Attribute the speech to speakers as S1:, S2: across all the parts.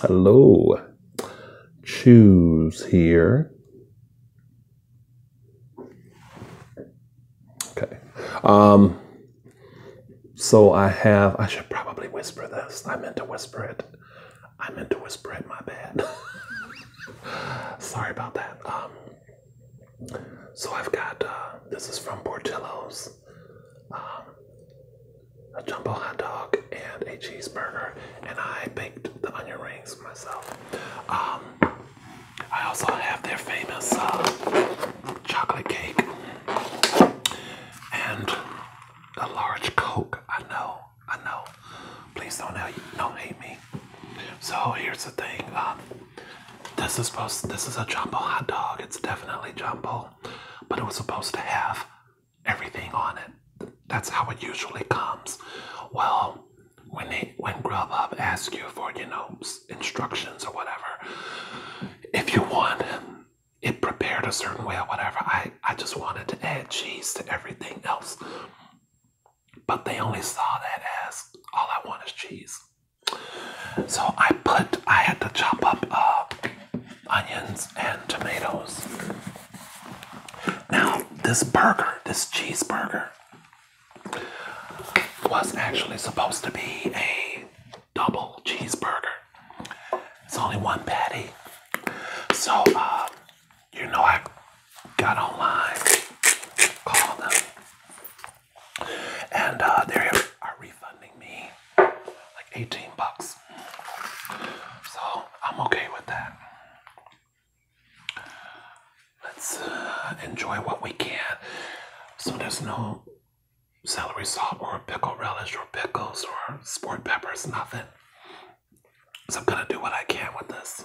S1: Hello. Choose here. Okay. Um, so I have, I should probably whisper this. I meant to whisper it. I meant to whisper it, my bad. Sorry about that. Um, so I've got, uh, this is from Portillo's. Um, a jumbo hot dog and a cheeseburger, and I baked the onion rings myself. Um, I also have their famous uh, chocolate cake and a large Coke. I know, I know. Please don't hate, me. So here's the thing. Um, this is supposed. This is a jumbo hot dog. It's definitely jumbo, but it was supposed to have everything on it. That's how it usually comes. Well, when they, when Grubhub asks you for you know instructions or whatever, if you want it prepared a certain way or whatever, I I just wanted to add cheese to everything else. But they only saw that as all I want is cheese. So I put I had to chop up uh, onions, and tomatoes. Now, this burger, this cheeseburger, was actually supposed to be a double cheeseburger. It's only one patty. So, uh, you know, I got online, called them, and uh, they are refunding me like 18 bucks. So I'm okay with that. Let's uh, enjoy what we can. So there's no celery salt or pickle relish or pickles or sport peppers, nothing. So I'm gonna do what I can with this.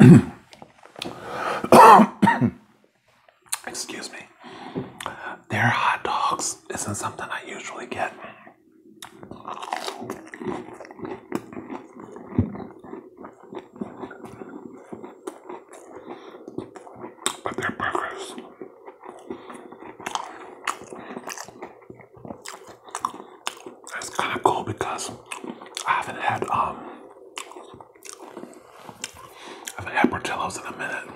S1: Excuse me. Their hot dogs isn't something I usually get. But their burgers that's kind of cool because I haven't had um I haven't had Portillo's in a minute.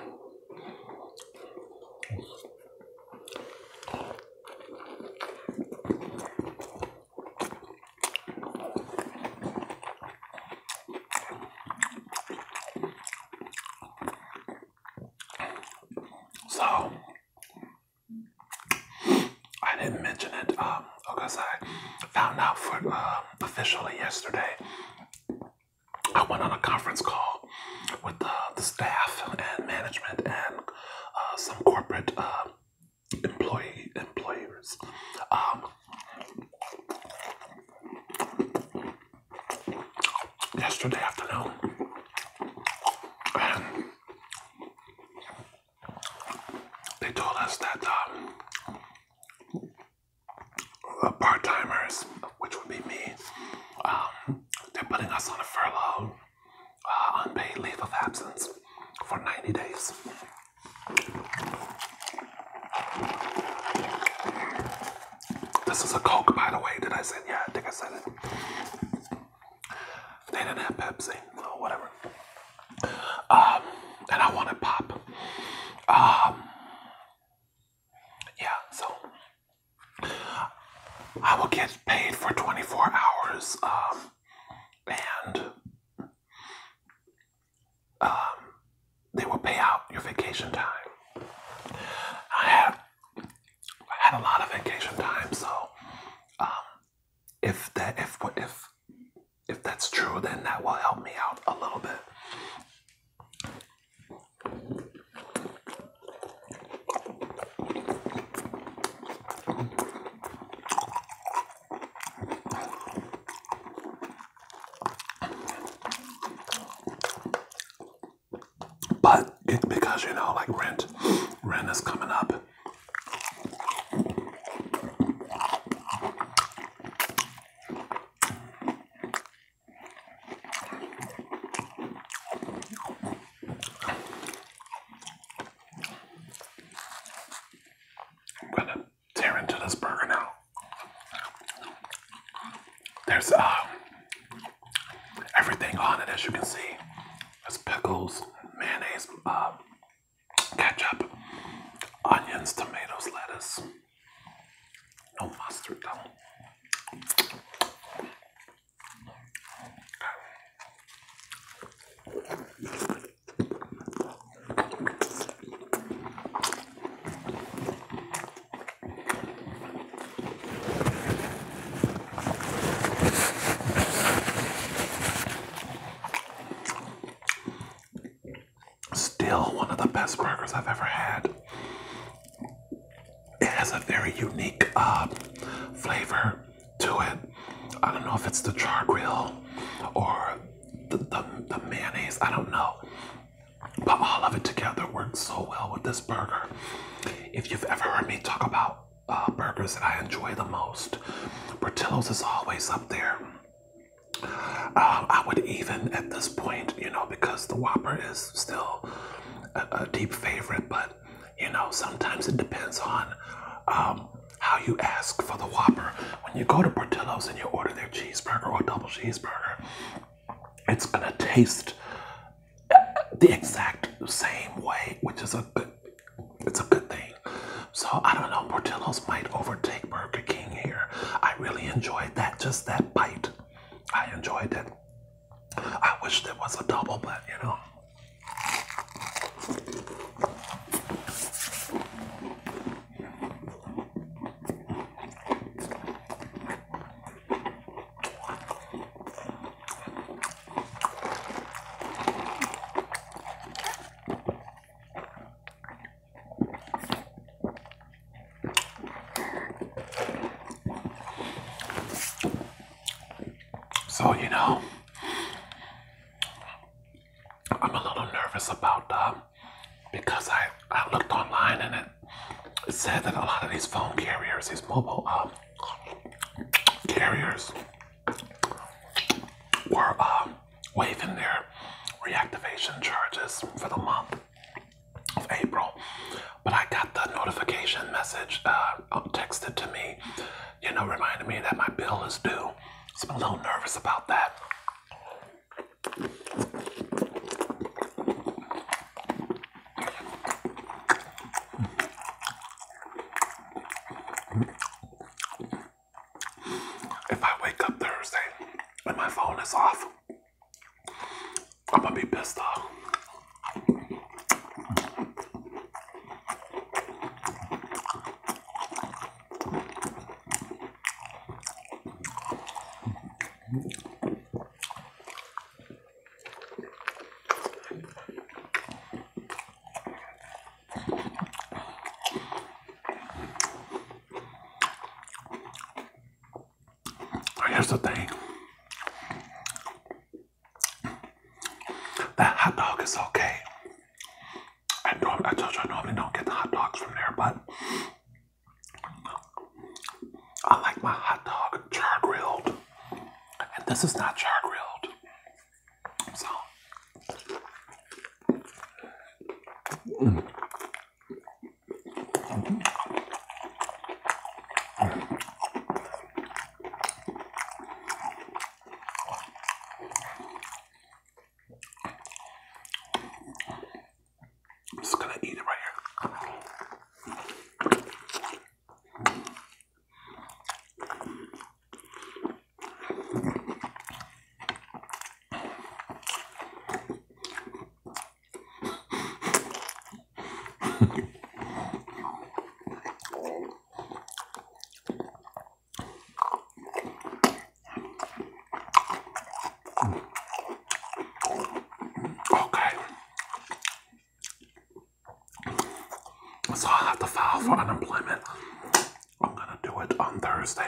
S1: So I didn't mention it um, because I found out for um, officially yesterday. I went on a conference call with the, staff and management and uh, some corporate uh, employee employers. yesterday afternoon, they told us that um, part timers, which would be me, um, they're putting us on a furlough, uh, unpaid leave of absence for 90 days. This is a Coke, by the way. Did I say? Yeah, I think I said it. They didn't have Pepsi or whatever. Um, and I wanted pop. Um, yeah, so I will get paid for 24 hours. Um, and they will pay out your vacation time. I had I had a lot of vacation time, so if that if if if that's true, then that will help me out a little bit. But because you know, like rent, rent is coming up, I'm gonna tear into this burger now. There's uh, everything on it, as you can see. There's pickles, mayonnaise, uh, ketchup, onions, tomatoes, lettuce, no mustard though. Still one of the best burgers I've ever had. It has a very unique uh, flavor to it. I don't know if it's the char grill or the, the, the mayonnaise, I don't know. But all of it together works so well with this burger. If you've ever heard me talk about uh, burgers that I enjoy the most. Portillo's is always up there. Um, I would even at this point, you know, because the Whopper is still a, deep favorite, but you know, sometimes it depends on um, how you ask for the Whopper. When you go to Portillo's and you order their cheeseburger or double cheeseburger, it's gonna taste uh, the exact same way, which is a good it's a good thing. So I don't know, Portillo's might overtake Burger King here. I really enjoyed that, just that bite. I enjoyed it. I wish there was a double, but you know. So, you know, I'm a little nervous about that because I, I looked online and it, it said that a lot of these phone carriers, these mobile um, carriers, were uh, waiving their reactivation charges for the month of April. But I got the notification message uh, um, texted to me, you know, reminding me that my bill is due. So I'm a little nervous about that if I wake up Thursday and my phone is off, I'm gonna be pissed off. Oh, here's the thing. That hot dog is okay. I, told you I normally don't get the hot dogs from there, but I like my hot dog char grilled. And this is not char grilled. So I'm just gonna eat it right here okay. So i have to file for unemployment. I'm gonna do it on Thursday.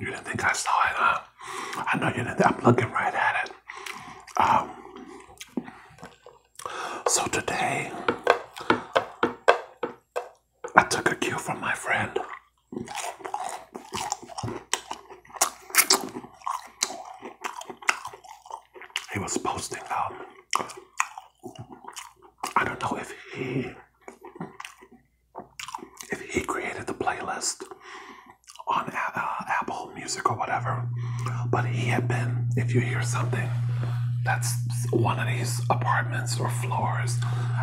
S1: You didn't think I saw it, huh? I know you did I'm looking right at it. Um, so today, I took a cue from my friend he was posting um I don't know if he if he created the playlist on uh, uh, Apple Music or whatever, but he had been. If you hear something, that's one of these apartments or floors.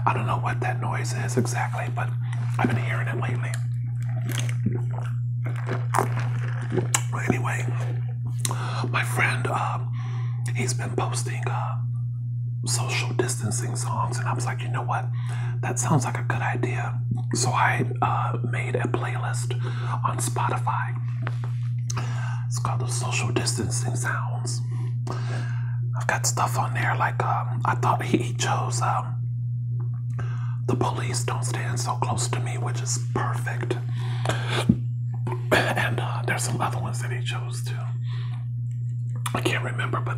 S1: I don't know what that noise is exactly, but I've been hearing it lately. Anyway my friend, um, he's been posting uh, social distancing songs, and I was like, you know what? That sounds like a good idea. So I uh, made a playlist on Spotify. It's called the Social Distancing Sounds. I've got stuff on there like um, I thought he chose um, the police don't stand so close to me, which is perfect. and uh, there's some other ones that he chose too. I can't remember, but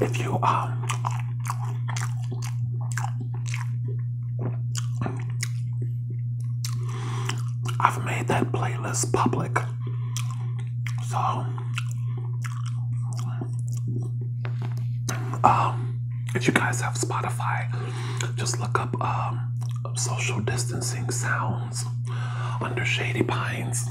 S1: if you um I've made that playlist public so, um, if you guys have Spotify, just look up um, social distancing sounds under Shady Pines.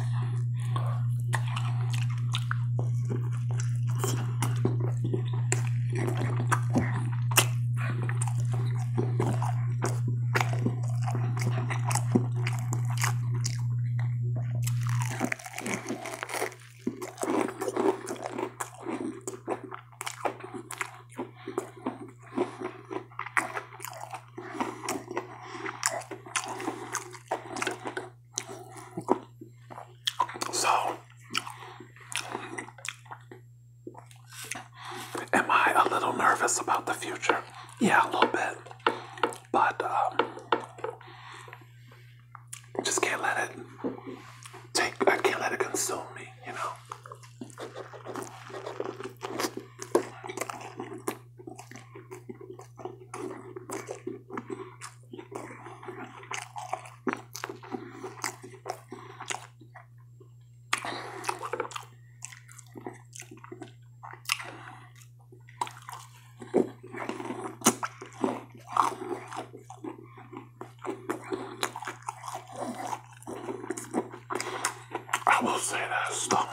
S1: So, am I a little nervous about the future? Yeah, a little bit but um, just can't let it take. I can't let it consume me. You know. I will say this though.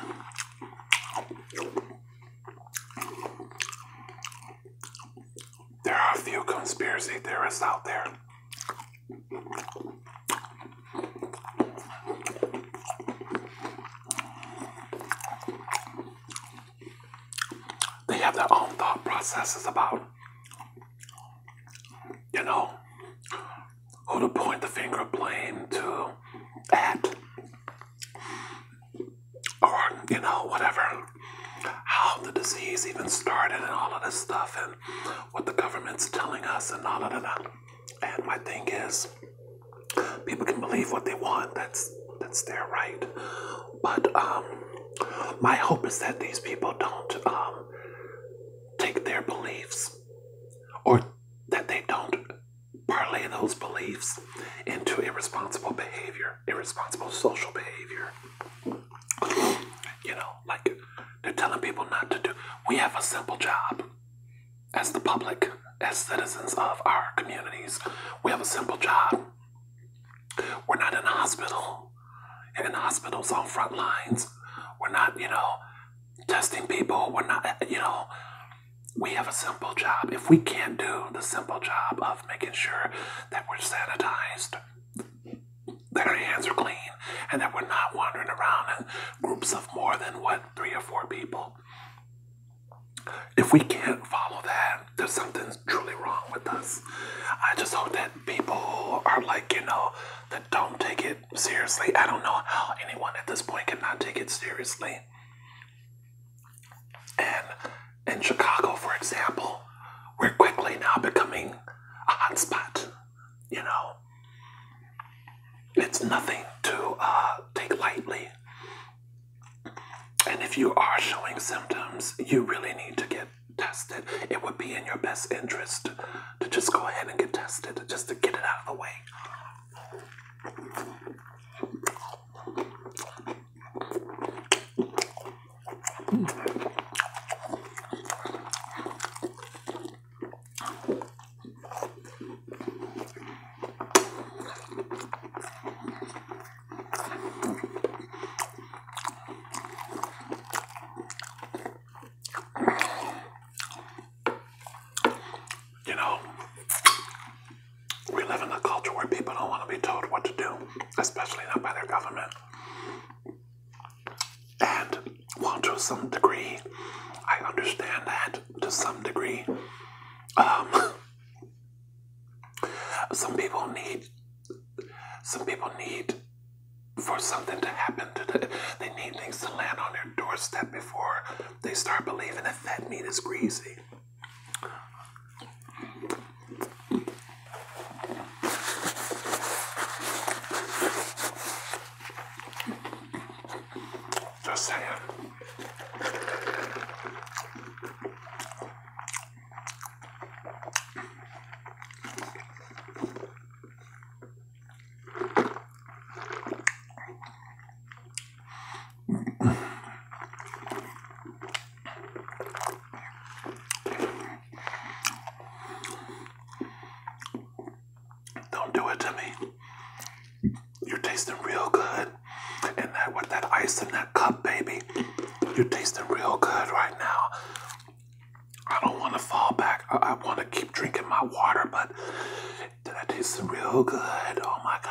S1: There are a few conspiracy theorists out there they have their own thought processes about, you know, who to point the finger blame to at, or, you know, whatever, how the disease even started and all of this stuff and what the government's telling us and all of that. And my thing is, people can believe what they want. That's that's their right. But um, my hope is that these people don't um, take their beliefs, or that they don't parlay those beliefs into irresponsible behavior, irresponsible social behavior. You know, like they're telling people not to do. We have a simple job as the public, as citizens of our communities, we have a simple job. We're not in a hospital, in hospitals on front lines. We're not, you know, testing people. We're not, you know, we have a simple job. If we can't do the simple job of making sure that we're sanitized, that our hands are clean, and that we're not wandering around in groups of more than what, three or four people, if we can't follow that, there's something truly wrong with us. I just hope that people are like, you know, that don't take it seriously. I don't know how anyone at this point can not take it seriously. And in Chicago, for example, we're quickly now becoming a hotspot. You know, it's nothing to uh, take lightly. And if you are showing symptoms, you really need to get tested. It would be in your best interest to just go ahead and get tested, just to get it out of the way. You know, we live in a culture where people don't want to be told what to do, especially not by their government. And, well, to some degree, I understand that to some degree. Um, Some people need, some people need for something to happen to them. They need things to land on their doorstep before they start believing that fat meat is greasy. Just saying. Don't do it to me. You're tasting real good. And that with that ice in that cup, baby, you're tasting real good right now. I don't want to fall back. I, want to keep drinking my water, but that tastes real good. Oh my god.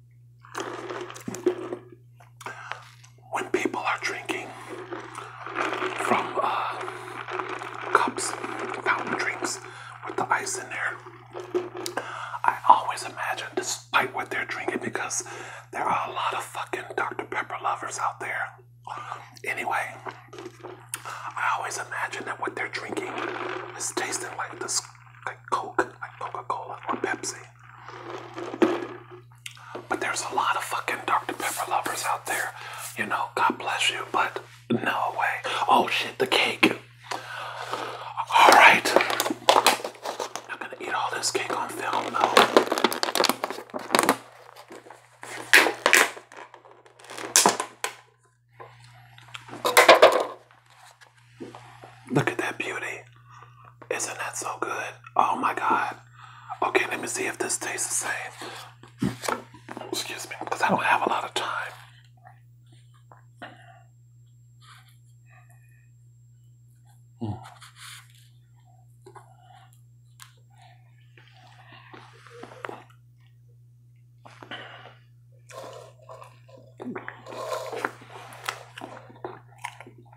S1: When people are drinking from uh, cups, fountain drinks with the ice in there, I always imagine, despite what they're drinking, because there are a lot of fucking Dr. Pepper lovers out there. Anyway, I always imagine that what they're drinking is tasting like this, like Coke, like Coca Cola or Pepsi. But there's a lot of fucking Dr. Pepper lovers out there. You know, God bless you, but no way. Oh shit, the cake. Alright. i gonna eat all this cake on film now. Look at that beauty. Isn't that so good? Oh my god. Okay, let me see if this tastes the same. Excuse me, because I don't have a lot of time.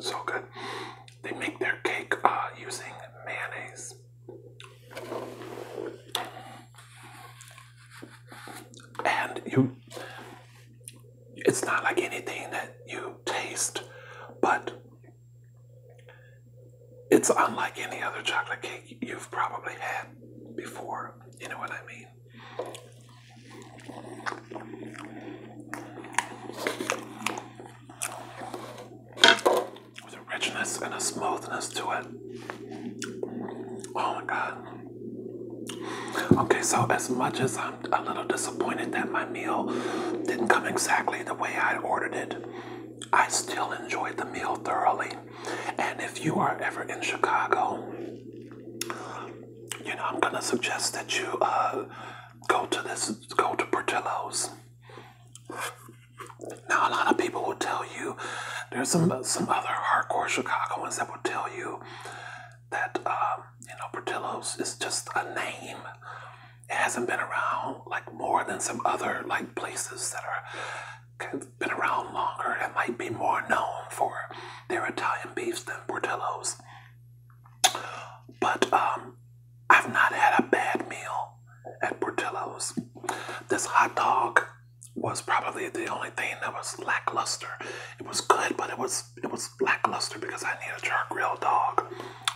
S1: so good. They make their cake uh, using mayonnaise. And you, it's not like anything that you taste, but it's unlike any other chocolate cake you've probably had before. You know what I mean? With richness and a smoothness to it. Oh my god. Okay, so as much as I'm a little disappointed that my meal didn't come exactly the way I ordered it, I still enjoyed the meal thoroughly. And if you are ever in Chicago, you know, I'm gonna suggest that you uh, go to this, go to Portillo's. Now, a lot of people will tell you, there's some mm-hmm. some other hardcore Chicagoans that will tell you that um, you know Portillo's is just a name. It hasn't been around like more than some other like places that are been around longer and might be more known for they're Italian beefs than Portillo's. But um, I've not had a bad meal at Portillo's. This hot dog was probably the only thing that was lackluster. It was good, but it was it was lackluster because I need a char grilled dog.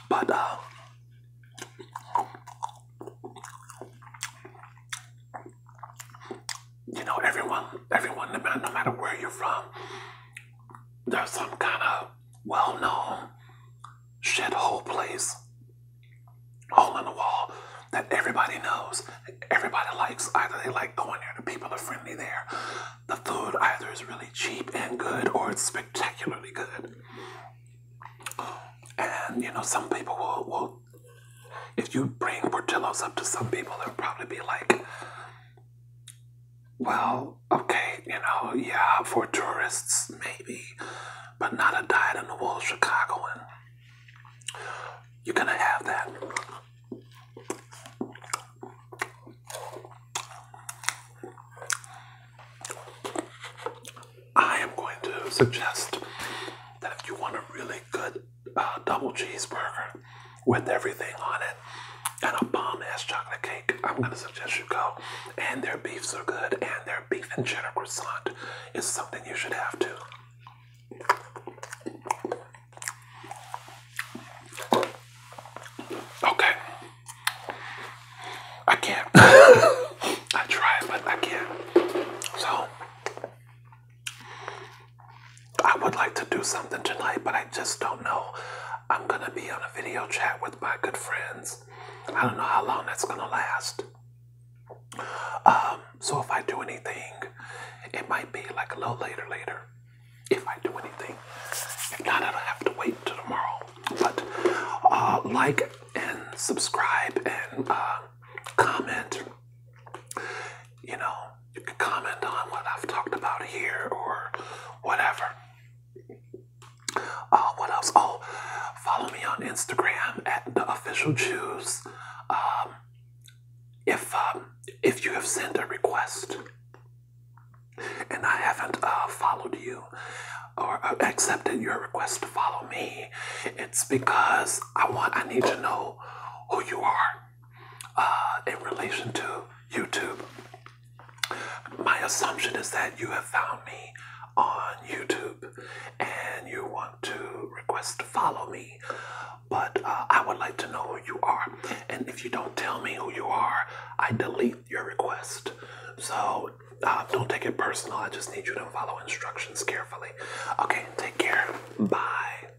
S1: But uh you know, everyone, everyone, no matter, no matter where you're from, there's some kind of well-known shit hole place, hole in the wall that everybody knows, everybody likes. Either they like going there, the people are friendly there. The food either is really cheap and good, or it's spectacularly good. And you know, some people will will if you bring Portillo's up to some people, they'll probably be like, well, okay, you know, yeah, for tourists, maybe, but not a diet in the wool Chicagoan. You're gonna have that. I am going to suggest that if you want a really good uh, double cheeseburger with everything on it and a bomb ass chocolate cake. I'm mm. gonna suggest you go. And their beefs are good, and their beef and cheddar croissant is something you should have too. Okay. I can't. I tried, but I can't. So, I would like to do something tonight, but I just don't know. I'm gonna be on a video chat with my good friends. I don't know how long that's gonna last. Um, so if I do anything, it might be like a little later later. If I do anything. If not, I'll have to wait till tomorrow. But uh, like and subscribe and uh, comment you know, you can comment on what I've talked about here or whatever. Uh, what else? Oh, follow me on Instagram at the official Jews. Um, if um, if you have sent a request and I haven't uh, followed you or accepted your request to follow me, it's because I want I need to know who you are. Uh, in relation to YouTube. My assumption is that you have found me on YouTube and you want to request to follow me, but uh, I would like to know who you are. And if you don't tell me who you are, I delete your request. So uh, don't take it personal. I just need you to follow instructions carefully. Okay, take care. Bye.